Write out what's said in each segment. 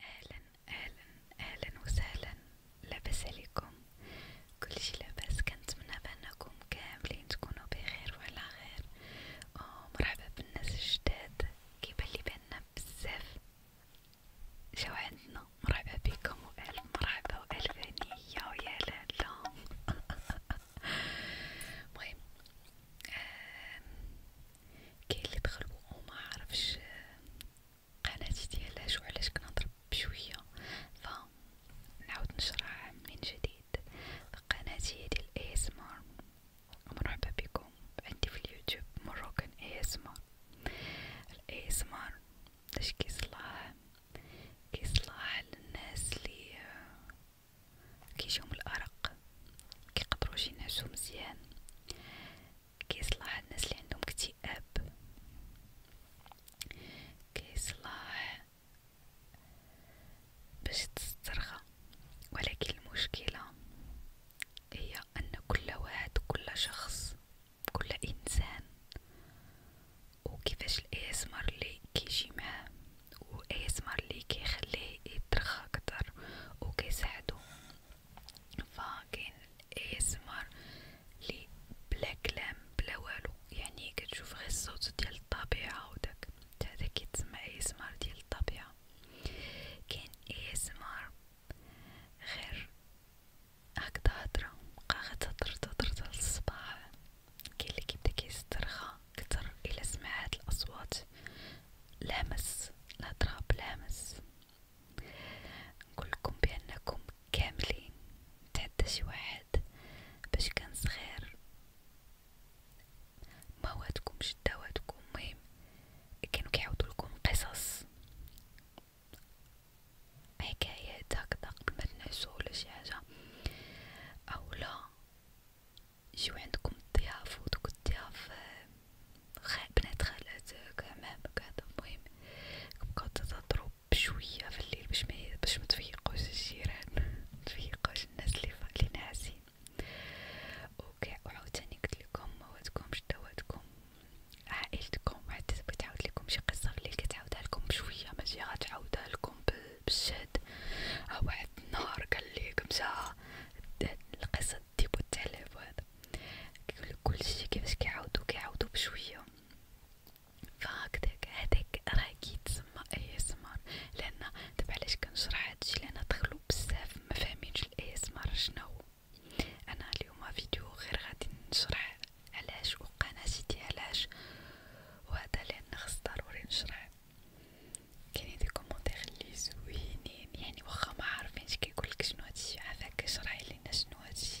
اهلا اهلا اهلا وسهلا لاباس عليكم كلشي لاباس كنتمنى بانكم كاملين تكونوا بخير وعلى خير ومرحبا بالناس الجداد كيبالي بأننا بزاف جاو عندنا مرحبا بكم والف مرحبا والف هنية ويا لالا المهم كاين اللي دخل وما عرفش قناتي ديال شو علاش كنهضر بشويه فنعاود نشرح من جديد قناتي ديال اي اس مار مرحبا بكم عندي في اليوتيوب مروكن اي اس مار الاي اس مار باش كيصلاح كيصلاح للناس اللي كيجيهم الارق كيقدروا شي نعسو مزيان كيصلح الناس اللي عندهم اكتئاب كيصلح باش تسترخى ولكن المشكله هي ان كل واحد كل شخص كل انسان وكيفاش الاسمر اللي كيجي معاه واسمر اللي كيخليه يترخى اكثر وكيساعدو فكاين ASMR لي بلا كلام بلا والو يعني كتشوف غير الصوت ديال الطبيعة وداك هذا كيتسمى ASMR ديال الطبيعة كاين ASMR غير هكدا هضرة بقا غا تهضر تهضر للصباح كاين لي كيبدا كيسترخى كتر إلا سمع هاد الأصوات لامس الهضرة بلامس نقولكم بأنكم كاملين تحدى شي واحد باش كان صغير ما واتكمش داواتكم مهم كانوا كيعاودولكم قصص حكايات هكدا قبل ما تنعسو ولا شي حاجه اولا يجيو عندكم الضياف ودوك الضياف آه، بنات خالاتك عمامك هذا المهم كبقاو تضرب بشوية في الليل باش ما باش متفيقوش الجيران متفيقوش الناس اللي اللي ناعسين اوكي وعاوتاني قلتلكم مواتكمش دواتكم عائلتكم حتى تبغي تعاود لكم شي قصة في الليل كتعاودها لكم بشوية ماشي غتعاودها لكم بالشد ها واحد النهار قال لي كمشا القصة التيب والتعليب وهذا كل شي كيفاش كيعاودو كيعاودو بشوية فهكداك هداك راه كيتسمى اي اس مار لان دابا علاش كنشرح هادشي لان دخلو بزاف مفاهمينش الاي اس مار شناهو انا اليوم فيديو غير غادي نشرح علاش وقناتي دي علاش وهذا لان خص ضروري نشرح كاينين دي كومونتير لي زوينين يعني يعني واخا ما عارفينش كيقولك شنو هادشي عافاك شرحي لينا شنو هادشي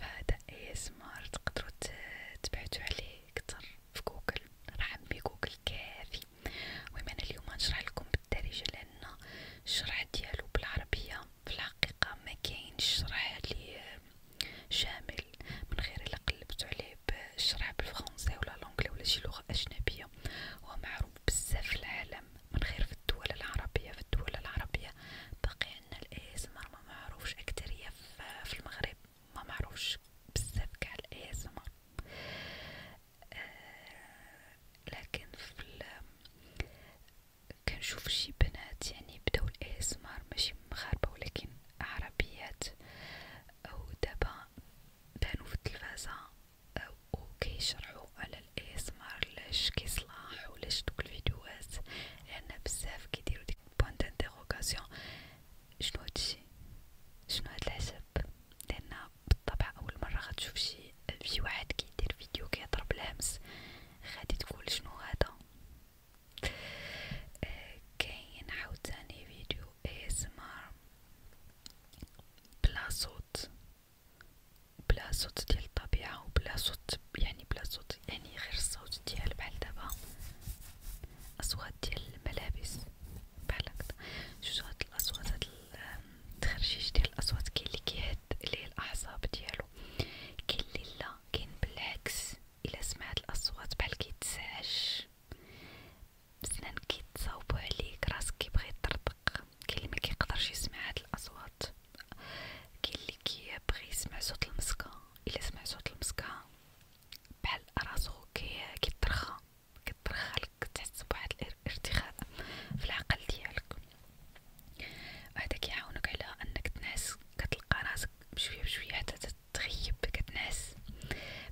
فهذا اي سمار تقدروا تبعتو عليه كتر في جوجل راه عمي جوجل كافي المهم انا اليوم نشرح لكم بالدارجه لان الشرح ديالو بالعربيه في الحقيقه ما كاينش شرح لي شامل من غير الا قلبتو عليه بالشرح بالفرنسي ولا لونجلي ولا شي لغه اجنبيه هو معروف بزاف في العالم من غير في الدول العربية في الدول العربية بقي عندنا الاسمر ما معروفش أكترية في المغرب ما معروفش بزاف كاع الاسمر آه، لكن في كنشوف شي بنات يعني بداو الاسمر ماشي مغاربة ولكن عربيات أو دابا بانو في التلفازة وكيشرحو على الاسمر ليش كيصلاح وليش دوك الفيديوهات لان بزاف كيديرو ديك بوان دانتيغوكاسيون شنو هادشي شنو هاد العجب لان بالطبع اول مره غتشوف شي شي واحد كيدير فيديو كيهضر بالهمس غادي تقول شنو هذا كاين عاوتاني فيديو اسمر بلا صوت بلا صوت ديال الطبيعة وبلا صوت يعني بلا صوت يعني غير الصوت ديال بحال دابا أصوات ديال الملابس بحال هكدا جوج هاد الأصوات هاد التخرجيج ديال الأصوات كاين لي كيهد ليه الأعصاب ديالو كاين لي لا كاين بالعكس إلا سمعت الأصوات بحال كيتسعش بسنان كيتصاوبو عليك راسك كيبغي يطرطر البرق كل ما كيقدرش يسمع هاد الاصوات كاين اللي كيبغي يسمع صوت المسكه الا سمع صوت المسكه بحال راسو كيترخى كترخالك تحس بواحد الارتخاء في العقل ديالك هذا كيعاونك على انك تنعس كتلقى راسك بشويه بشويه حتى تغيب كتنعس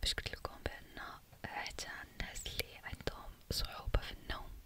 باش قلت لكم بان حتى الناس اللي عندهم صعوبه في النوم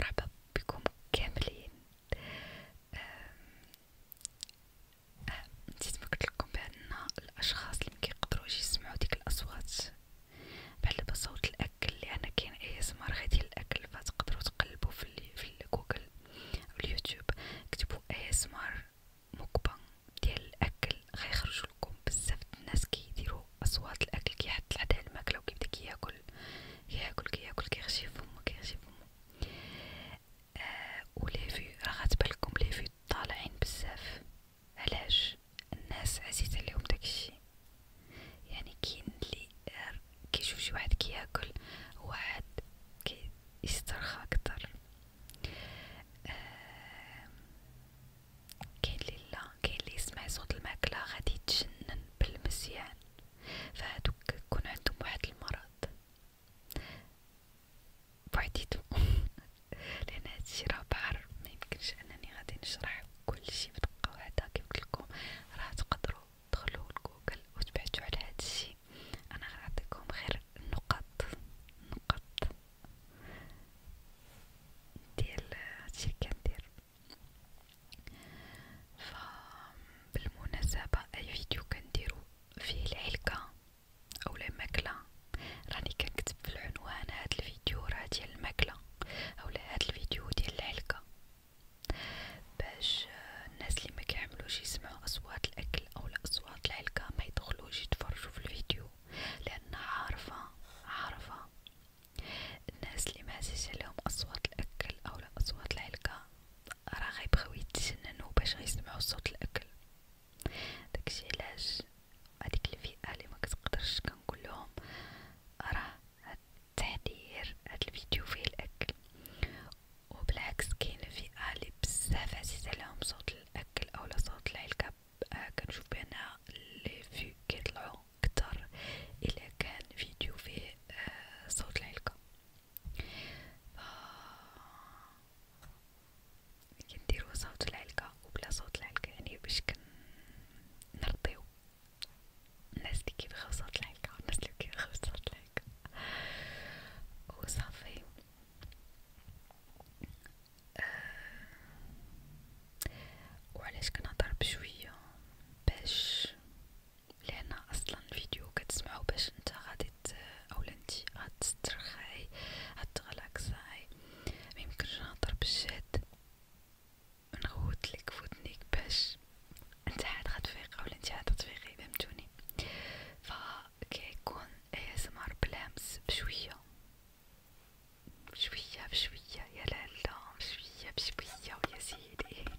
مرحبا بكم كاملين آه، نسيت ما قلتلكم بأن الأشخاص اللي مكيقدرو يجي يسمعو ديك الأصوات بحال بصوت الأكل لأن كاين أي سمار غادي الأكل فتقدرو تقلبو في, في جوجل أو اليوتيوب كتبو أي سمار مكبن ديال الأكل غيخرجو لكم بزاف الناس كيديرو أصوات الأكل كيحط الحدا الماكلة وكيبدا كياكل كياكل كياكل كيغشي فمو كيغشي فمو آه و ليفي راه غتبالكم ليفي طالعين بزاف علاش الناس عزيز عليهم داكشي يعني كاين اللي كيشوف شي واحد كياكل واحد كيسترخى اكثر آه كاين اللي لا كاين اللي يسمع صوت الماكله غادي يتجنن بالمزيان فهادوك يكون عندهم واحد المرض بعديتهم لأن هادشي راه بحر ميمكنش أنني غادي نشرح كلشي بدقة واحدة كيف قلتلكم راه تقدرو تدخلو لجوجل وتبحثو على هادشي أنا غنعطيكم غير النقط نقط ديال هادشي لي كندير فبالمناسبة اي فيديو كنديرو فيه العلكة او الماكلة راني كنكتب في العنوان هاد الفيديو راه ديال الماكلة او هاد الفيديو ديال العلكة باش الناس اللي ما كيحملوش يسمعوا اصوات الاكل او اصوات العلكة ما يدخلوش يتفرجوا في الفيديو لان عارفة عارفة الناس اللي ما تسجلهم اصوات الاكل او لا اصوات العلقة راه غيبغيو يتجننوا باش غيسمعوا صوت الاكل داكشي علاش هذيك الفئه اللي ما كتقدرش كنقول لهم راه هاد التحضير هاد الفيديو فيه الاكل وبالعكس كاين فئه اللي بزاف عزيز عليهم صوت الاكل او لا صوت العلكه آه، كنشوف بان لي فيو كيطلعو كتر إلا كان فيديو فيه آه صوت العلكة كنديرو صوت العلكة وبلا صوت العلكة يعني باش كنرضيو الناس لي كيبغيو صوت العلكة الناس لي كيبغيو صوت العلكة وصافي آه. وعلاش كنهضر بشوية باش لأن أصلا فيديو كتسمعو باش نتا غادي أولا نتي غتسترخاي غتغلاكساي ميمكنش نهضر بالجد نغوتلك فودنيك باش انت عاد غتفيق أولا انت عاد تفيقي فهمتوني فكيكون ASMR بلامس بشوية بشوية بشوية يا لالا بشوية بشوية ويا سيدي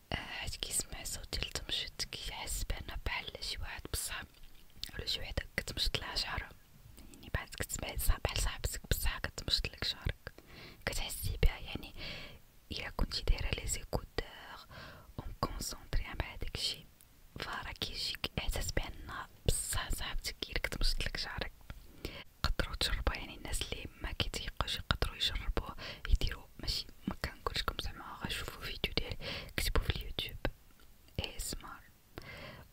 حيت كيسمع صوت ديال التمشيط كيحس بأنه بحال شي واحد بصح ولا شي وحده كتمشط لها شعرها يعني بعد كتسمع بحال صاحبتك بصح كتمشط لك شعرك كتحسي بها يعني الا كنتي دايره لي زيكودور ومكونسونطريا مع داكشي فراه كيجيك احساس بان بصح صاحبتك هي كتمشط لك شعرك قدروا تجربوا يعني الناس اللي ما كيتيقوش يقدروا يجربوه يديروا فيديو ماشي ما كنقولكم زعما غتشوفوا فيديو ديال كتبوا في اليوتيوب اي اسمار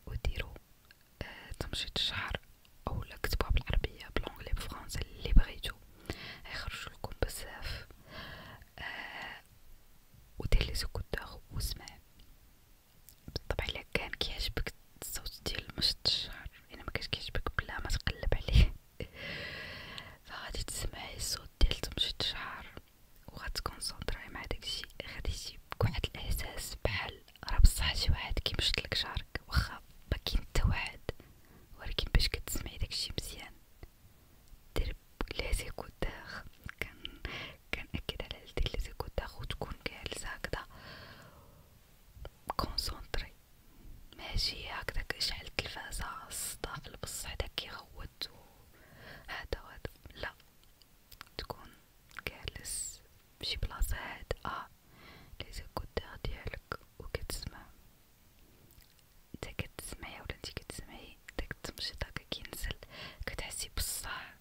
وديروا آه تمشيط الشعر اولا كتبوها بالعربيه بالانجلي بالفرنسي اللي بغيتو غيخرجوا لكم بزاف آه ودير لي سكوتور واسمع بالطبع الا كان كيعجبك الصوت ديال مشط الشعر الا يعني ما كانش كيعجبك بلا ما تقلب عليه فغادي تسمعي الصوت ديال تمشي الشعر وغتكونسونطري مع داكشي غادي يجيب واحد الاحساس بحال راه بصح شي واحد كيمشطلك شعرك واخا باكين حتى واحد ولكن باش كتسمعي داكشي مزيان دير لي كنأكد على دير لي وتكون جالسه هكذا كونسونطري ماشي هكداك اشعل التلفازة الصدى في البص حدا كيغوت هدا وهدا لا تكون جالس فشي بلاصة هادئة لي زيكوتيغ ديالك و كتسمع نتا كتسمعي ولا نتي كتسمعي داك التمشيط هكا كينزل كتحسي بصح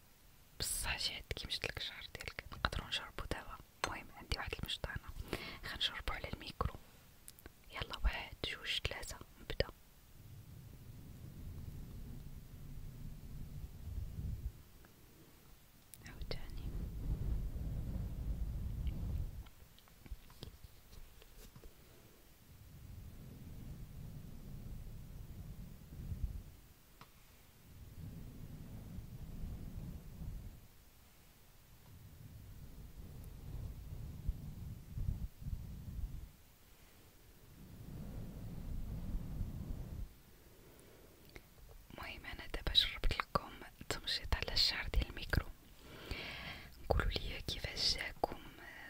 بصح شي حد كيمشطلك الشعر ديالك نقدرو نجربو دابا المهم عندي واحد المشطانة خنجربو على الميكرو يلا واحد جوج ثلاثة نبدا عاوتاني المهم انا دابا شربت لكم تمشيط على الشعر ديال الميكرو قولوا لي كيفاش جاكم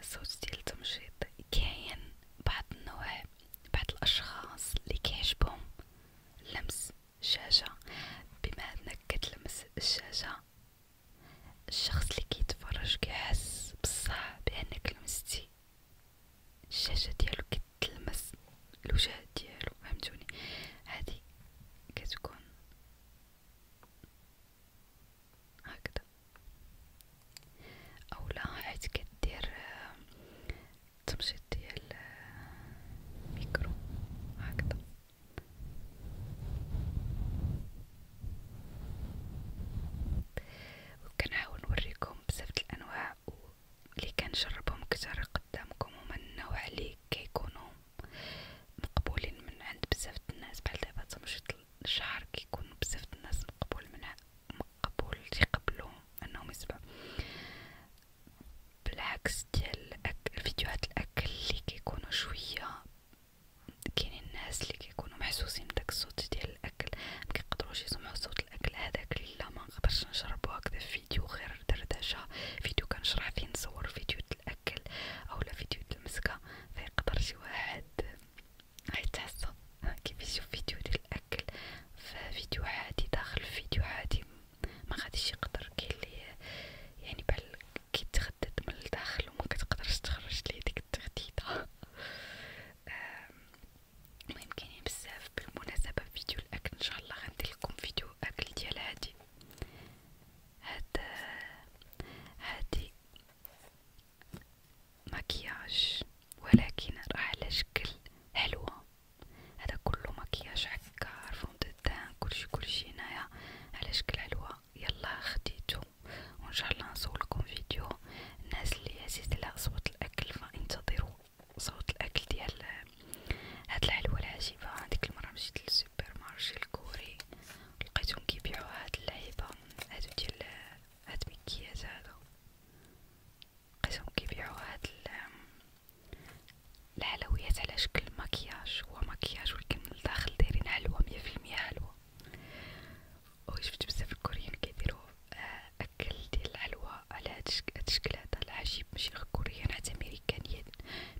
صوت ديال التمشيط كاين بعض النوع بعض الاشخاص اللي كيعجبهم لمس الشاشه بما انك كتلمس الشاشه الشخص اللي كيتفرج كيحس بصح بانك لمستي الشاشه ديالو كتلمس الوجه ديالو فهمتوني هادي كتكون هكذا لا حيت كدير التمشيط آه، ديال الميكرو آه، هكذا وكنحاول نوريكم بزاف الانواع اللي كنجربهم كتر قدامكم هما النوع اللي كيكونوا مقبولين من عند بزاف الناس بحال دابا تمشيط الشعر كيكون بزاف الناس مقبول منها مقبول تيقبلوهم انهم يسمعوا بالعكس ديال الفيديوهات الاكل اللي كيكونوا شويه كاينين الناس اللي كيكونوا محسوسين بداك الصوت ديال الاكل مكيقدروش يسمعوا صوت الاكل هذاك لا ما نقدرش نشربو هكذا في فيديو غير دردشه فيديو كنشرح فيه نصور فيديو الاكل اولا فيديو المسكه فيقدر شي واحد حيت حسه كيف يشوف فيديو ديال الاكل ففيديو عادي داخل فيديو عادي ما غاديش يقدر كاين اللي يعني بحال كيتخدد من الداخل وما كتقدرش تخرج ليه ديك التخديده المهم كاينين بزاف بالمناسبه فيديو الاكل ان شاء لكم فيديو اكل ديال هادي هاد هادي مكياج ولكن راه على شكل حلوه هذا كله مكياج هكا فون كلشي كلشي هنايا على شكل حلوه يلا خديتو وان شاء الله نصورلكم فيديو الناس اللي عزيز على صوت الاكل فانتظروا صوت الاكل ديال هاد الحلوى العجيبه هذيك المره مشيت للسوبر مارشي الكوري لقيتهم كيبيعوا هاد اللعيبه هادو ديال هاد مكياج هادو لقيتهم كيبيعوا هاد الحلويات على شكل مكياج هو مكياج ولكن لداخل دايرين حلوة مية في المية حلوة وشفت بزاف الكوريين كيديرو آه، أكل ديال الحلوى على هاد الشكل هدا العجيب ماشي غير كوريين حتى أمريكانيات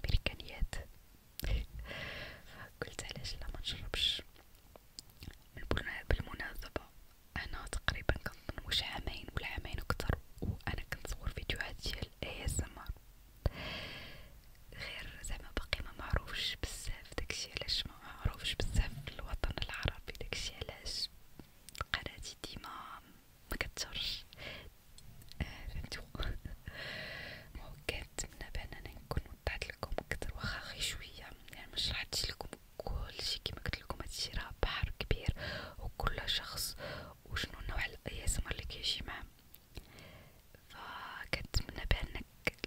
أمريكانيات قلت علاش لا منشربش بالمناسبة أنا تقريبا كنظن واش عامين ولا عامين أكتر وأنا كنصور فيديوهات ديال ASMR غير زعما باقي ما معروفش بزاف داكشي علاش ما معروفش بزاف في الوطن العربي داكشي علاش قناتي ديما ما كتشرش آه، فهمتو كنتمنى بان انا نكون وضعت لكم اكثر واخا غير شويه يعني ما شرحتش لكم كلشي كما قلت لكم هادشي راه بحر كبير وكل شخص وشنو نوع الايسمر اللي كيجي معاه فكنتمنى بانك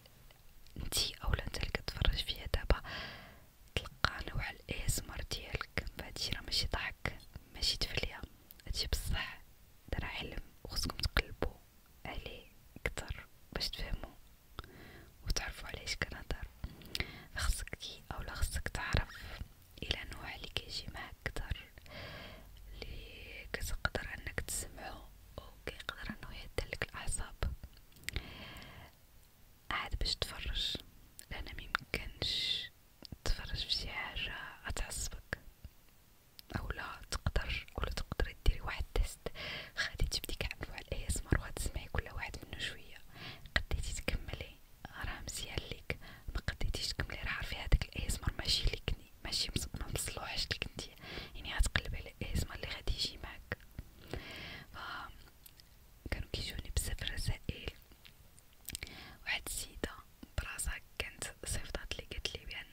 انتي اولا نتا لي كتفرج فيا دابا تلقى نوع الاسمر ديالك فهادشي راه ماشي ضحك ماشي تفليه هادشي بصح راه حلم وخصكم تقلبو عليه كتر باش تفهمو وتعرفوا علاش كنهضر خصك اولا خصك تعرف الى نوع اللي كيجي معاك كتر لي كتقدر انك تسمعو وكيقدر انو يهدلك الاعصاب عاد باش تفرج لان ميمكنش تفرج في شي حاجه غتعصبك اولا تقدر ولا تقدري ديري واحد تيست غادي تبدي كنوع الاي اس ام وغتسمعي كل واحد منو شويه قديتي تكملي راه مزيان ليك ما قديتيش تكملي راه عارفه هذاك الاي اس ماشي ليك يعني ماشي مصلوحش لك انت يعني غتقلب على الازمه اللي غادي يجي معاك ف كانوا كيجوني بزاف رسائل واحد السيده براسها كانت صيفطات لي قالت لي بان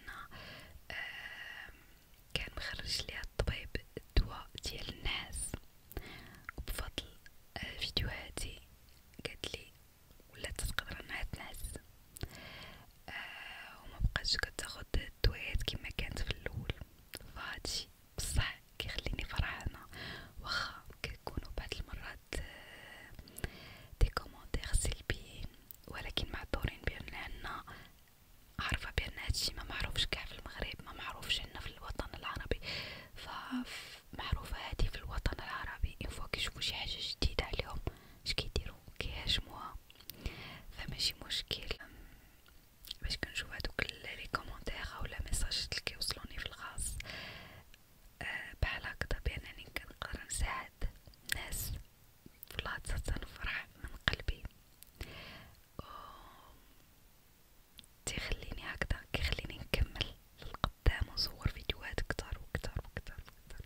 كان مخرج ليها الطبيب الدواء ديال الناس وبفضل آه، فيديوهاتي قالت لي ولات تقدر انها تنعس آه وما بقاش كتاخد الدويات كما كانت في الاول فهادشي بصح كيخليني فرحانه واخا كيكونوا بعض المرات دي آه، كومونتير سلبيين ولكن معذورين بان عنا عارفه بان هادشي ما معروفش كاع في المغرب ما معروفش عندنا في الوطن العربي فمعروفه هادي في الوطن العربي ان فوا كيشوفوا شي حاجه جديده عليهم اش كيديروا يحاولوا كيهاجموها فماشي مشكل باش كنشوف هادوك لي كومونتير اولا ميساجات اللي كيوصلوني في الخاص أه بحال هكذا بانني كنقدر نساعد الناس فالعطسة تنفرح من قلبي و تيخليني هكذا كيخليني نكمل للقدام ونصور فيديوهات كتر وكتر وكتر وكتر